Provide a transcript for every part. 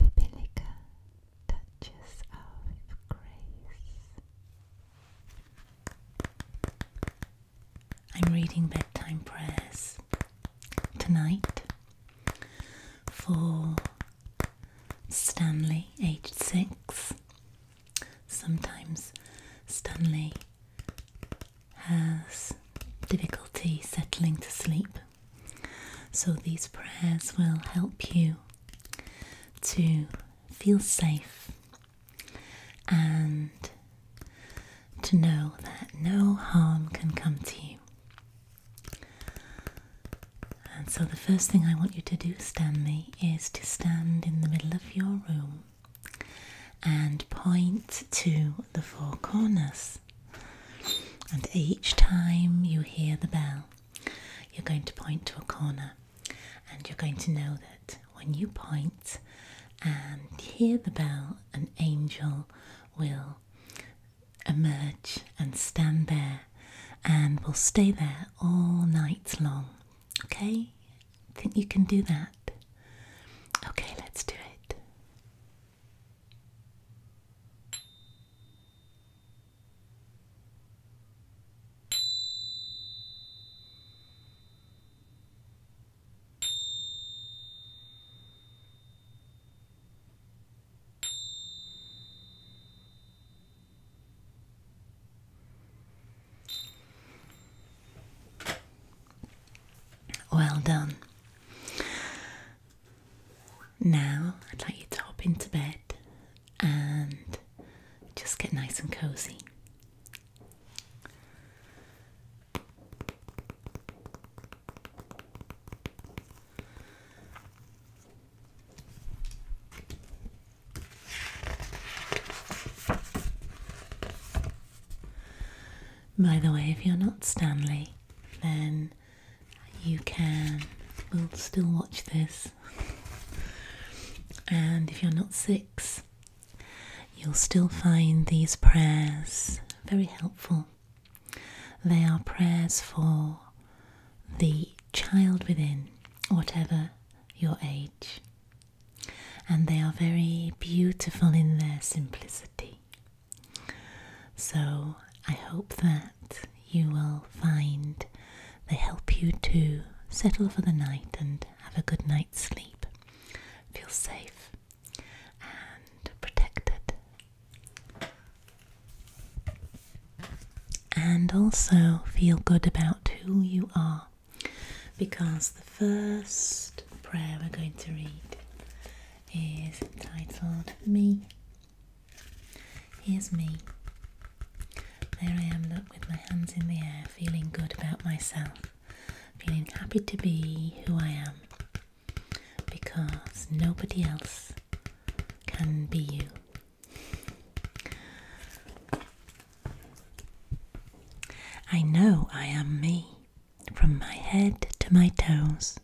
Bibelica touches of grace. I'm reading bedtime prayers tonight for Stanley, aged six. Sometimes Stanley has difficulty settling to sleep. So these prayers will help you to feel safe and to know that no harm can come to you. And so, the first thing I want you to do, Stanley, is to stand in the middle of your room and point to the four corners. And each time you hear the bell, you're going to point to a corner and you're going to know that when you point and hear the bell, an angel will emerge and stand there and will stay there all night long. Okay? Think you can do that? Okay, let's do it. Well done. Now I'd like you to hop into bed and just get nice and cozy. By the way, if you're not Stanley, then you can will still watch this. and if you're not six, you'll still find these prayers very helpful. They are prayers for the child within, whatever your age. And they are very beautiful in their simplicity. So I hope that you will find they help you to settle for the night and have a good night's sleep. Feel safe and protected. And also feel good about who you are because the first prayer we're going to read is entitled Me. Here's me. There I am, look, with my hands in the air, feeling good about myself, feeling happy to be who I am, because nobody else can be you. I know I am me from my head to my toes,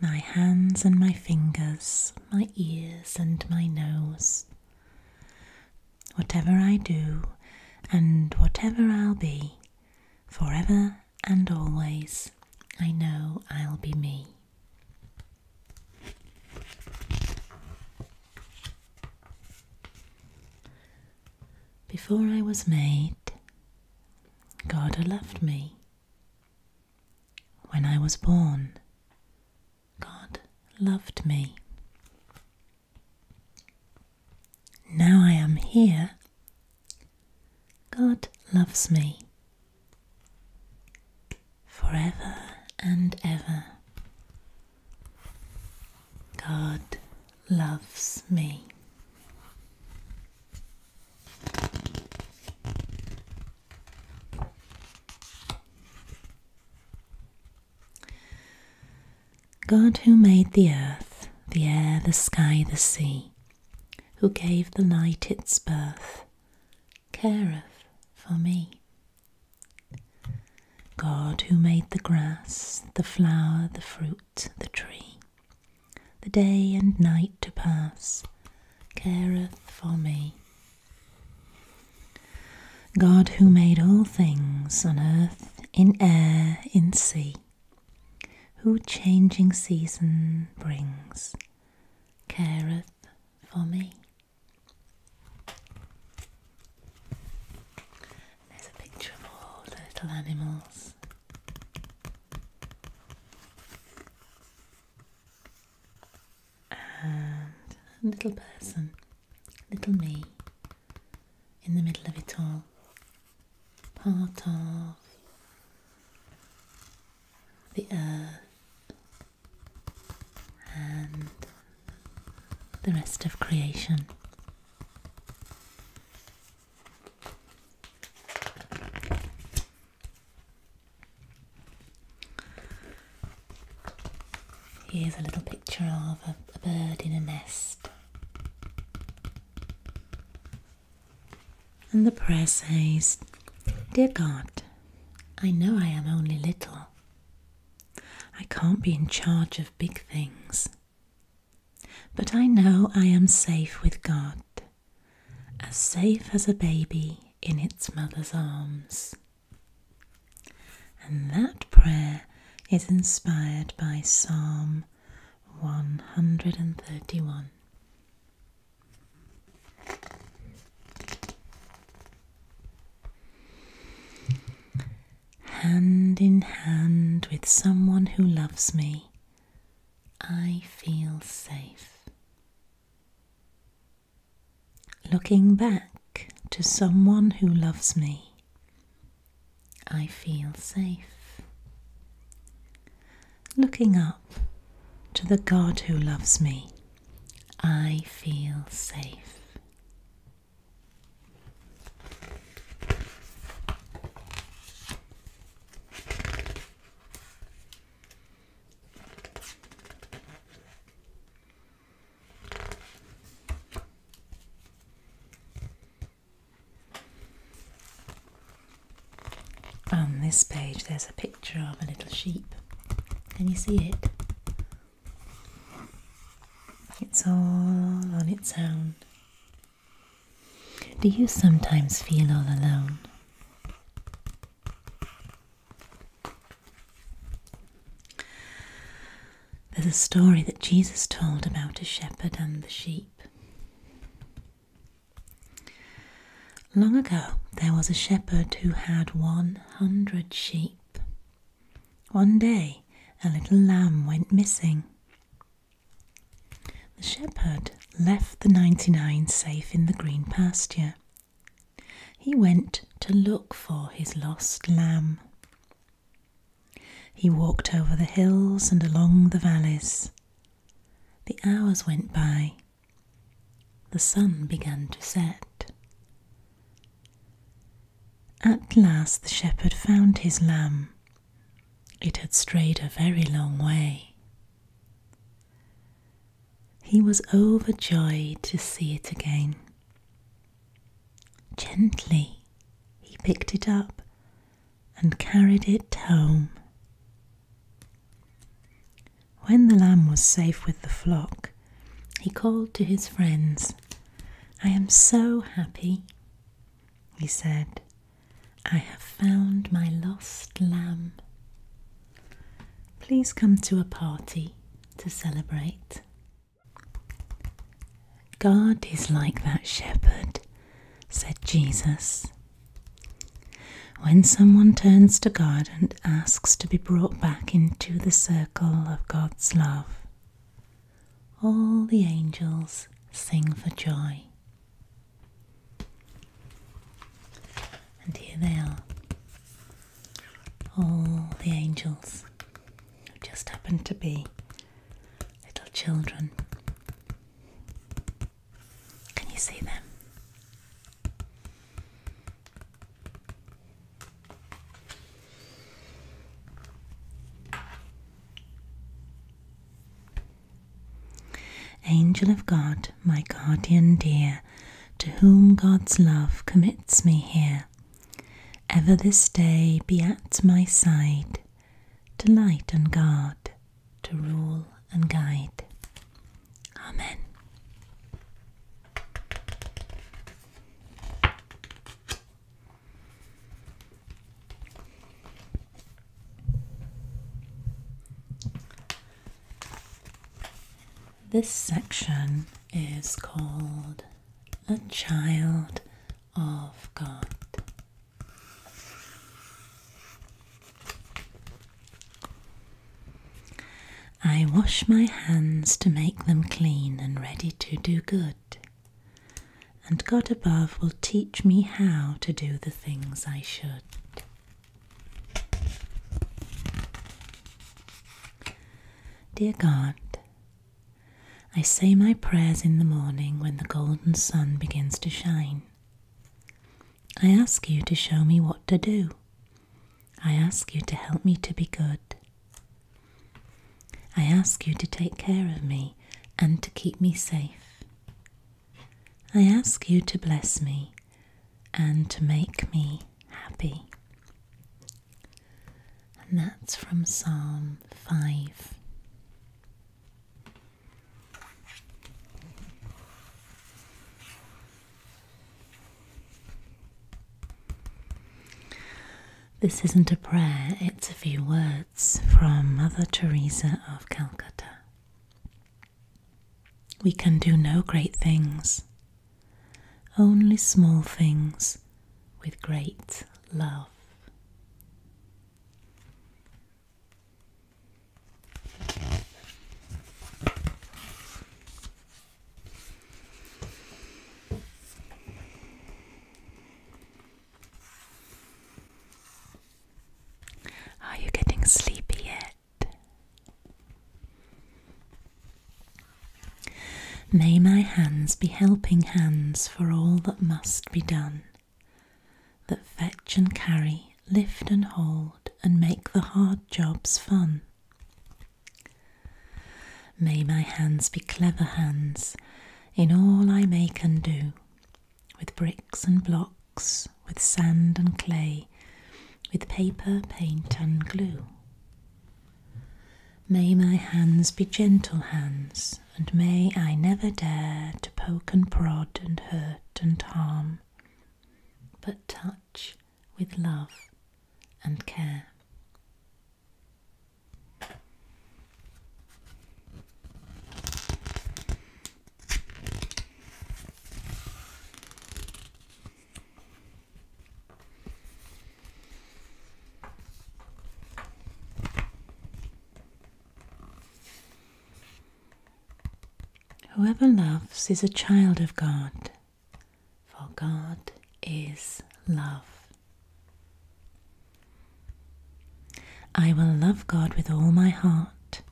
my hands and my fingers, my ears and my nose. Whatever I do, and whatever I'll be, forever and always, I know I'll be me. Before I was made, God loved me. When I was born, God loved me. Now I am here, God loves me. Forever and ever, God loves me. God, who made the earth, the air, the sky, the sea, who gave the light its birth, careth for me. God, who made the grass, the flower, the fruit, the tree, the day and night to pass careth for me. God, who made all things on earth, in air, in sea, who changing season brings, careth for me. There's a picture of all little animals and a little person, little me, in the middle of it all, part of the earth and the rest of creation. Here's a little picture of a, bird in a nest. And the prayer says, Dear God, I know I am only little. I can't be in charge of big things. But I know I am safe with God, as safe as a baby in its mother's arms. And that prayer is inspired by Psalm 131. Hand in hand with someone who loves me, I feel safe. Looking back to someone who loves me, I feel safe. Looking up to the God who loves me, I feel safe. On this page, there's a picture of a little sheep. Can you see it? It's all on its own. Do you sometimes feel all alone? There's a story that Jesus told about a shepherd and the sheep. Long ago, there was a shepherd who had 100 sheep. One day, a little lamb went missing. The shepherd left the ninety nine safe in the green pasture. He went to look for his lost lamb. He walked over the hills and along the valleys. The hours went by. The sun began to set. At last the shepherd found his lamb it had strayed a very long way. He was overjoyed to see it again. Gently he picked it up and carried it home. When the lamb was safe with the flock, he called to his friends. I am so happy, he said, I have found my lost lamb. Please come to a party to celebrate. God is like that shepherd, said Jesus. When someone turns to God and asks to be brought back into the circle of God's love, all the angels sing for joy. And here they are, all the angels who just happen to be little children. Can you see them? Angel of God, my guardian dear, to whom God's love commits me here, ever this day be at my side, to light and guard, to rule and guide. Amen. This section is called A Child of God. I wash my hands to make them clean and ready to do good and God above will teach me how to do the things I should. Dear God, I say my prayers in the morning when the golden sun begins to shine. I ask you to show me what to do. I ask you to help me to be good. I ask you to take care of me and to keep me safe. I ask you to bless me and to make me happy. And that's from Psalm 5. This isn't a prayer, it's a few words from Mother Teresa of Calcutta. We can do no great things, only small things with great love. Are you getting sleepy yet? May my hands be helping hands for all that must be done, that fetch and carry, lift and hold, and make the hard jobs fun. May my hands be clever hands in all I make and do, with bricks and blocks, with sand and clay, with paper, paint, and glue. May my hands be gentle hands, and may I never dare to poke and prod and hurt and harm, but touch with love and care. Whoever loves is a child of God, for God is love. I will love God with all my heart.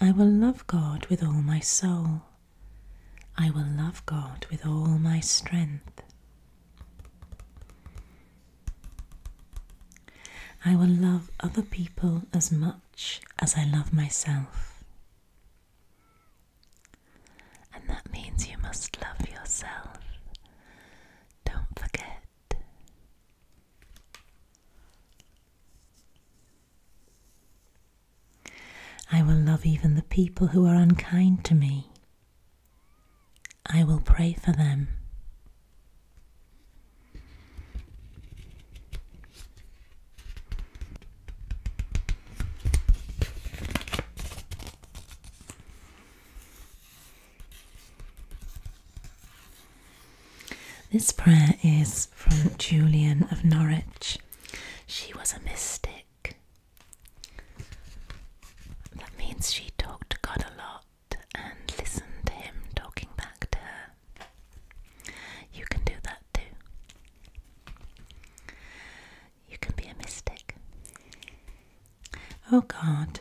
I will love God with all my soul. I will love God with all my strength. I will love other people as much as I love myself. And that means you must love yourself don't forget. I will love even the people who are unkind to me. I will pray for them. This prayer is from Julian of Norwich. She was a mystic. That means she talked to God a lot and listened to Him talking back to her. You can do that too. You can be a mystic. O oh God,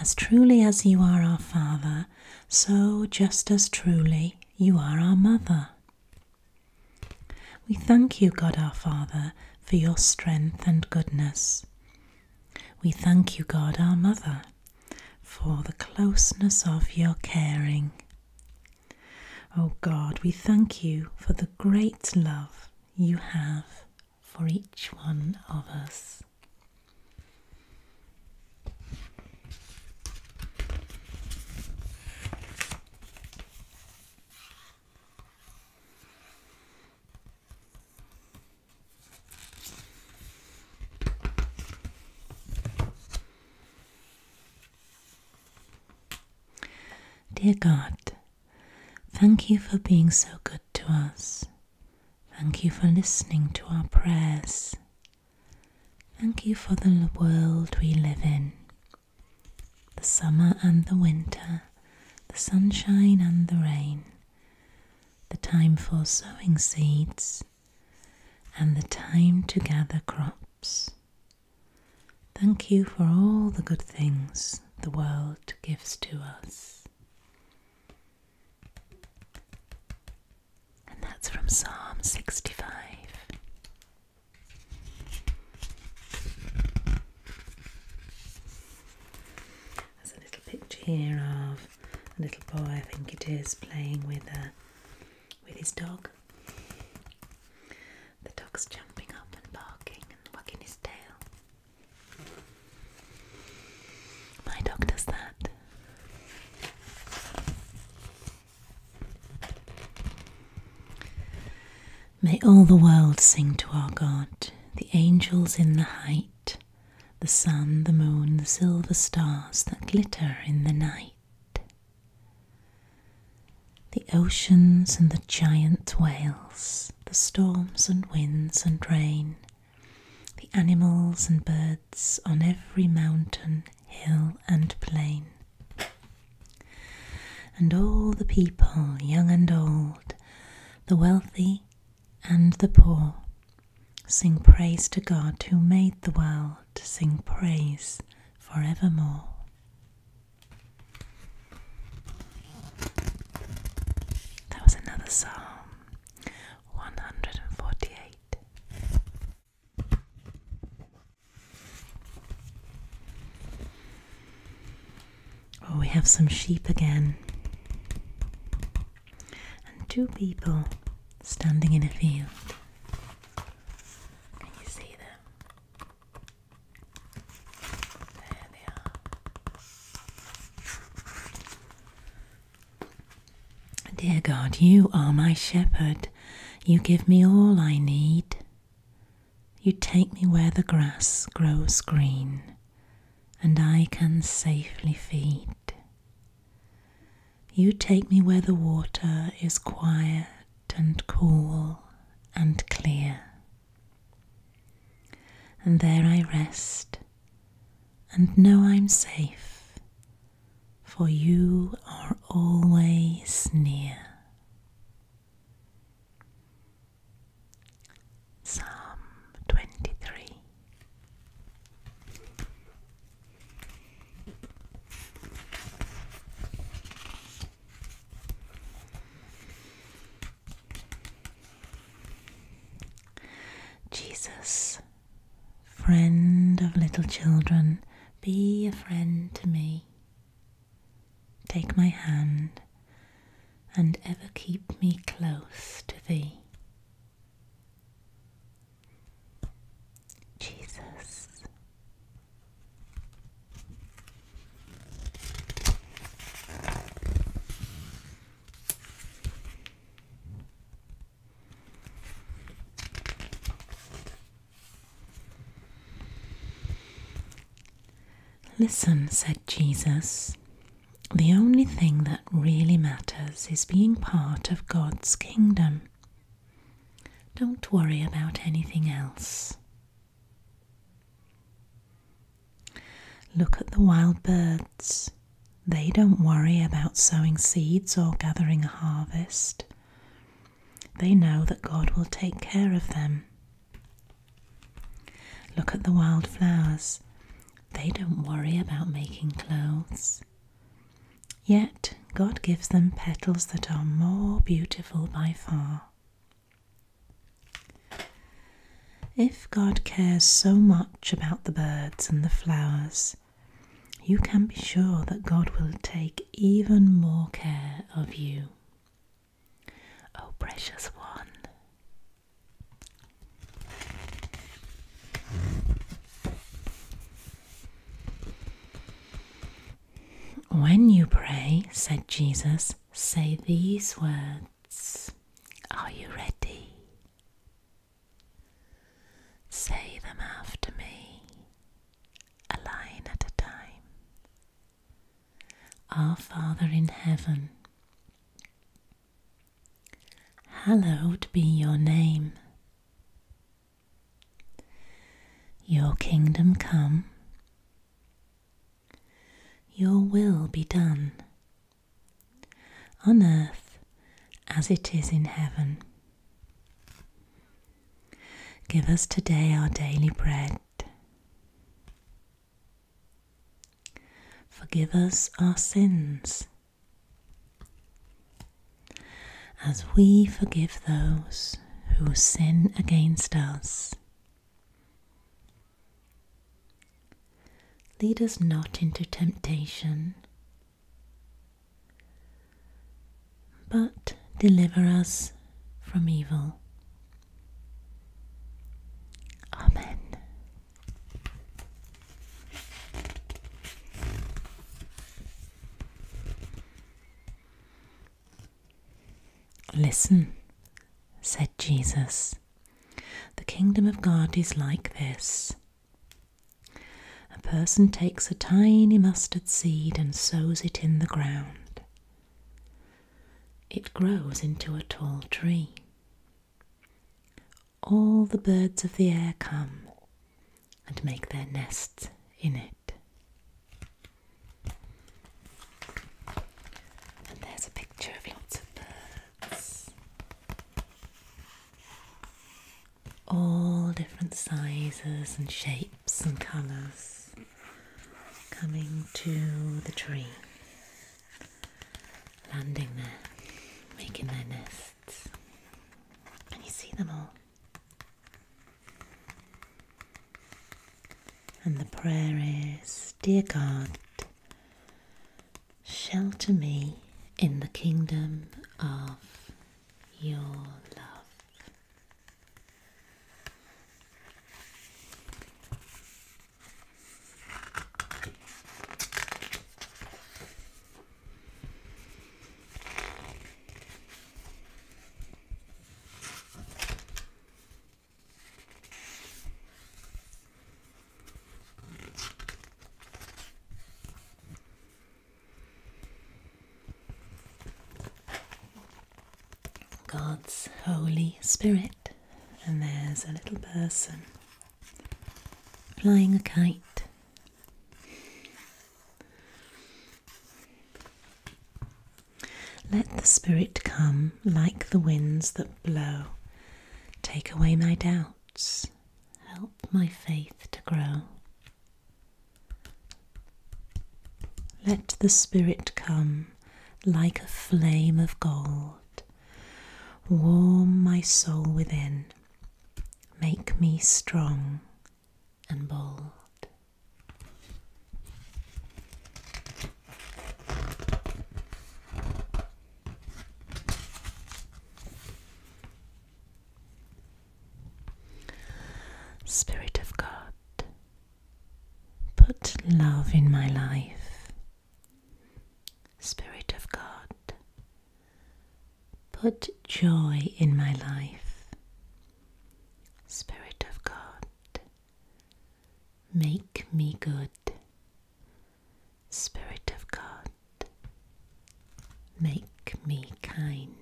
as truly as you are our Father, so just as truly you are our Mother. We thank you, God our Father, for your strength and goodness. We thank you, God our Mother, for the closeness of your caring. O oh God, we thank you for the great love you have for each one of us. Dear God, Thank you for being so good to us. Thank you for listening to our prayers. Thank you for the world we live in the summer and the winter, the sunshine and the rain, the time for sowing seeds, and the time to gather crops. Thank you for all the good things the world gives to us. And that's from Psalm 65. There's a little picture here of a little boy, I think it is, playing with a uh, with his dog. The dog's jumping up and barking and wagging his tail. My dog does that. May all the world sing to our God, the angels in the height, the sun, the moon, the silver stars that glitter in the night the oceans and the giant whales, the storms and winds and rain, the animals and birds on every mountain, hill, and plain. And all the people, young and old, the wealthy and the poor, sing praise to God who made the world, sing praise forevermore. That was another Psalm 148. Oh, we have some sheep again, and two people standing in a field. Can you see them? Dear God, you are my shepherd. You give me all I need. You take me where the grass grows green, and I can safely feed. You take me where the water is quiet and cool and clear, and there I rest and know I'm safe, for you are always near. Psalm 23 Jesus, friend of little children, be a friend to me. Take my hand and ever keep me close to thee. Jesus, Listen, said Jesus, the only thing that really matters is being part of God's kingdom. Don't worry about anything else. Look at the wild birds. They don't worry about sowing seeds or gathering a harvest. They know that God will take care of them. Look at the wild flowers. They don't worry about making clothes. Yet God gives them petals that are more beautiful by far. If God cares so much about the birds and the flowers, you can be sure that God will take even more care of you. Oh, precious one. When you pray, said Jesus, say these words. Are you ready? Say them after me, a line at a time. Our Father in heaven, hallowed be your name. Your kingdom come, your will be done on earth as it is in heaven. Give us today our daily bread. Forgive us our sins as we forgive those who sin against us. Lead us not into temptation, but deliver us from evil. Amen. Listen, said Jesus, the kingdom of God is like this. A person takes a tiny mustard seed and sows it in the ground. It grows into a tall tree. All the birds of the air come and make their nests in it. And there's a picture of lots of birds, all different sizes and shapes and colours, coming to the tree, landing there, making their nests. Can you see them all. And the prayer is Dear God, shelter me in the kingdom of your love. God's Holy Spirit, and there's a little person flying a kite. Let the Spirit come like the winds that blow. Take away my doubts. Help my faith to grow. Let the Spirit come like a flame of gold. Warm my soul within. Make me strong and bold. Spirit of God, put love in my life. Spirit of God, put joy in my life. Spirit of God, Make me good. Spirit of God, make me kind.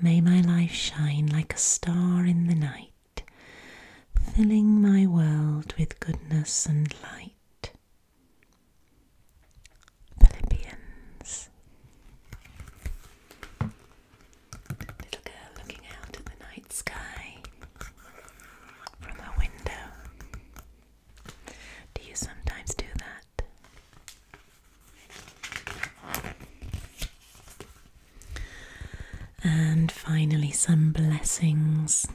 May my life shine like a star in the night, filling my world with goodness and light. Philippians. Little girl looking out at the night sky from her window. Do you sometimes do that? And finally, some blessings.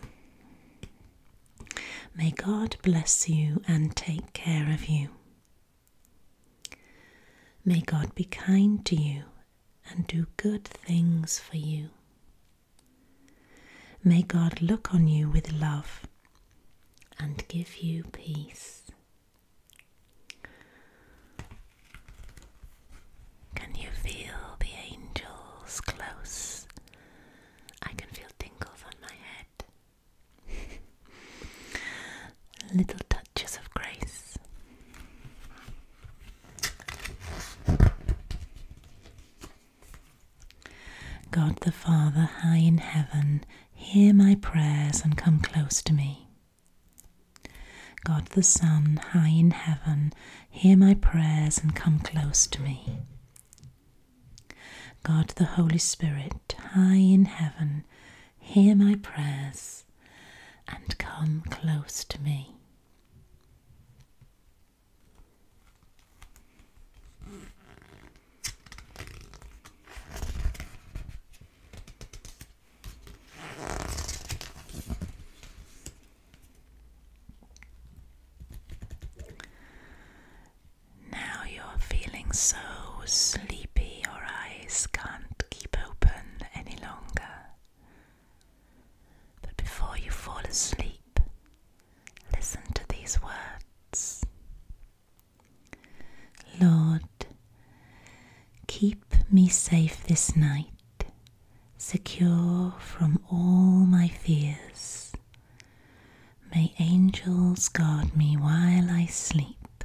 May God bless you and take care of you. May God be kind to you and do good things for you. May God look on you with love and give you peace. Can you feel the angels close? I can feel tingles on my head. Little touches of grace. God the Father, high in heaven, hear my prayers and come close to me. God the Son, high in heaven, hear my prayers and come close to me. God the Holy Spirit, high in heaven, hear my prayers and come close to me. Now you're feeling so sleepy your eyes can't keep open any longer. But before you fall asleep, listen to these words Lord, keep me safe this night, secure from all my fears. May angels guard me while I sleep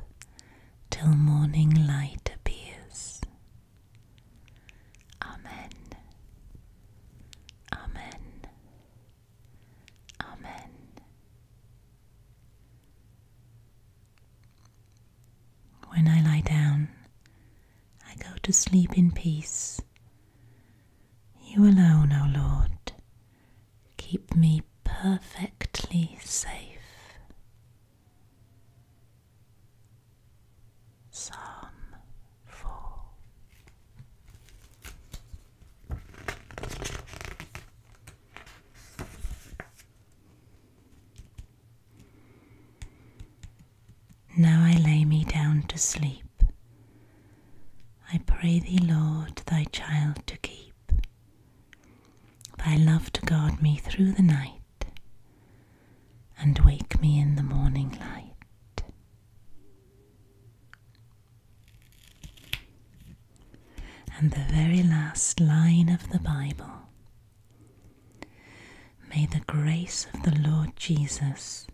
till morning light appears. Amen. Amen. Amen. When I lie down, I go to sleep in peace. You alone, O Lord, Keep me perfectly safe. Psalm 4 Now I lay me down to sleep. I pray thee, Lord, thy child to keep, thy love to guard me through the night, and wake me in the morning light. And the very last line of the Bible. May the grace of the Lord Jesus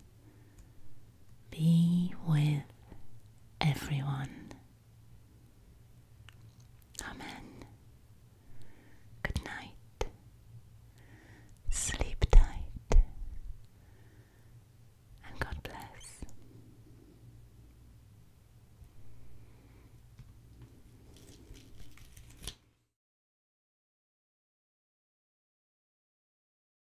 be with everyone. Amen. Good night. Sleep tight. And God bless.